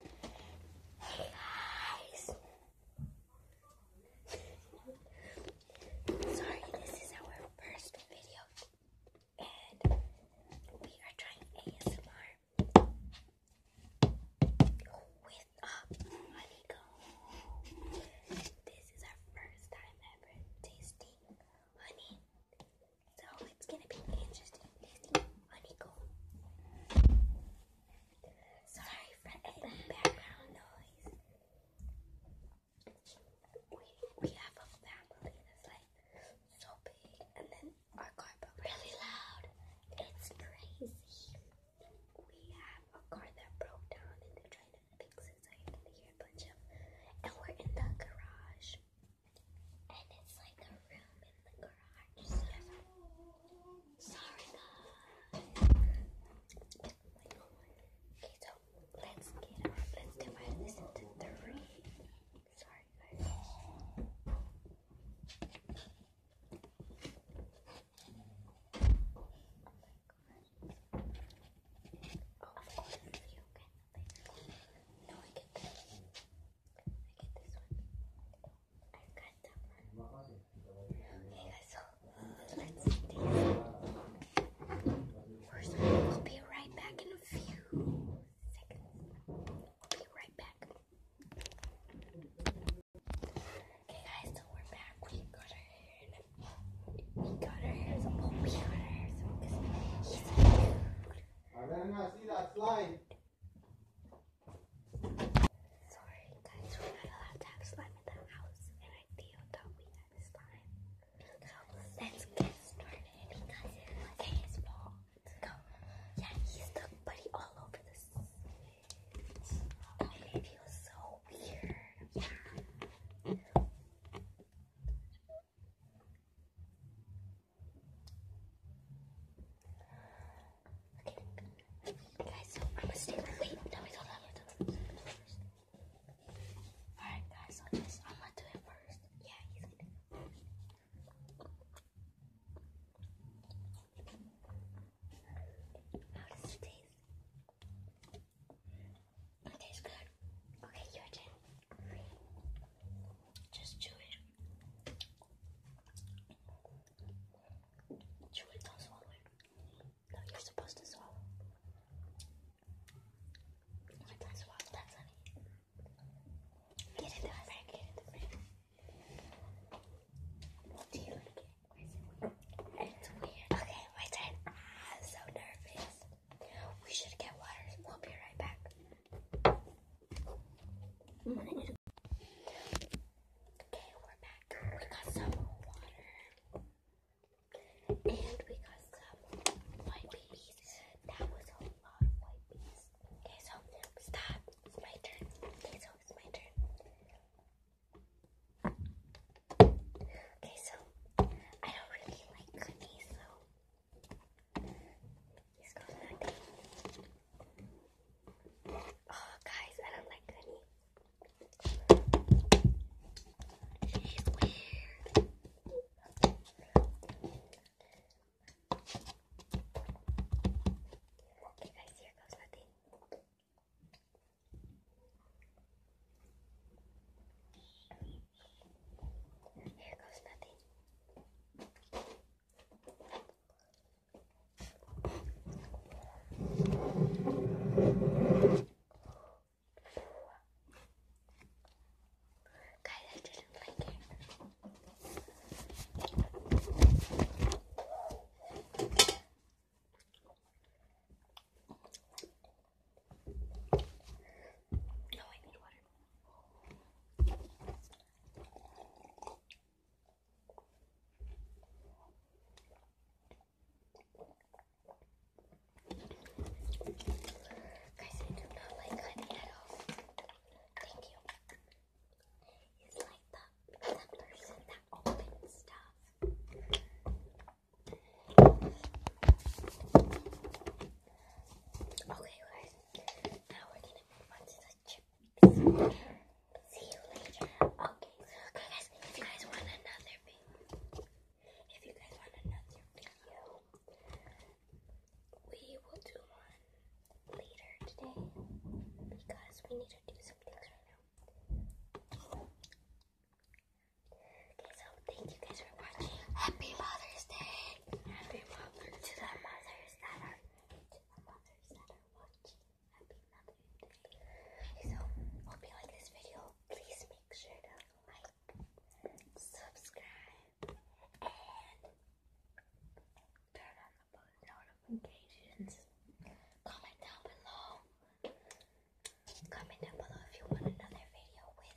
Hey guys! Sorry, this is our first video and we are trying ASMR with a honeycomb. This is our first time ever tasting honey. So it's gonna be interesting tasting Sorry for any background noise. We, we have a family that's like so big, and then our car but really loud. It's crazy. We have a car that broke down, and they're trying to fix it, so you can hear a bunch of. And we're in the garage. And it's like a room in the garage. sorry guys. Okay, so let's get Let's divide this into three. Sorry guys. Oh oh, you No, I can get this I've got that so let's see these. We'll be right back in a few We'll be right back. Okay, guys, so we're back. We got our hair in we got our hairs up. we got our hairs up he's a dude. And then I see that slide. Sorry guys, we're not allowed to have slime in the house and I feel we had slime. So let's get started because it was his fault. Yeah, he's the buddy all over the and it feels so weird. Okay, guys, I'm gonna stay with wait, no, we don't Alright guys, I'm gonna do it first. Yeah, he's going How does it taste? It tastes good. Okay, your turn. Just chew it. Chew it, don't swallow it. No, you're supposed to swallow. You can swallow that, honey. Get in the bag, get in the bag. Do you like it? It's weird. Okay, my turn. I'm so nervous. We should get water. We'll be right back. Okay, we're back. We got some water. And we got some white bees. That was a lot of white bees. Okay, so stop. It's my turn. Okay, so it's my turn. Okay, so I don't really like cookies, so He's got nothing. Oh, guys, I don't like Gunny. He's weird. Okay, guys, here goes nothing. There goes nothing. Guys, I didn't like it. No, I need water. Guys, I do not like honey at all. Thank you. It's like the, the person that opens stuff. Okay, guys. Now we're gonna move on to the chips. See you later. Okay. Okay, guys. if you guys want another video, we will do one later today because we need to do some things right now. Okay, so thank you guys for watching. Happy Mother's Day. Happy Mother's to to the mothers that are watching. Happy Mother's Day. Okay, so hope you like this video. Please make sure to like, subscribe, and turn on the post notifications. Comment down below. Comment down below if you want another video with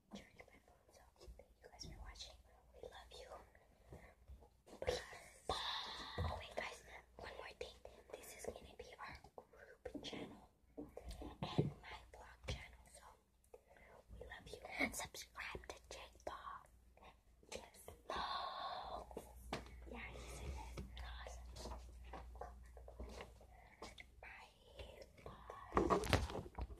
journey my phone. So you guys for watching. We love you. Oh wait guys, one more thing. This is gonna be our group channel and my vlog channel. So we love you. Subscribe to Jake Bob. Yes. Bye.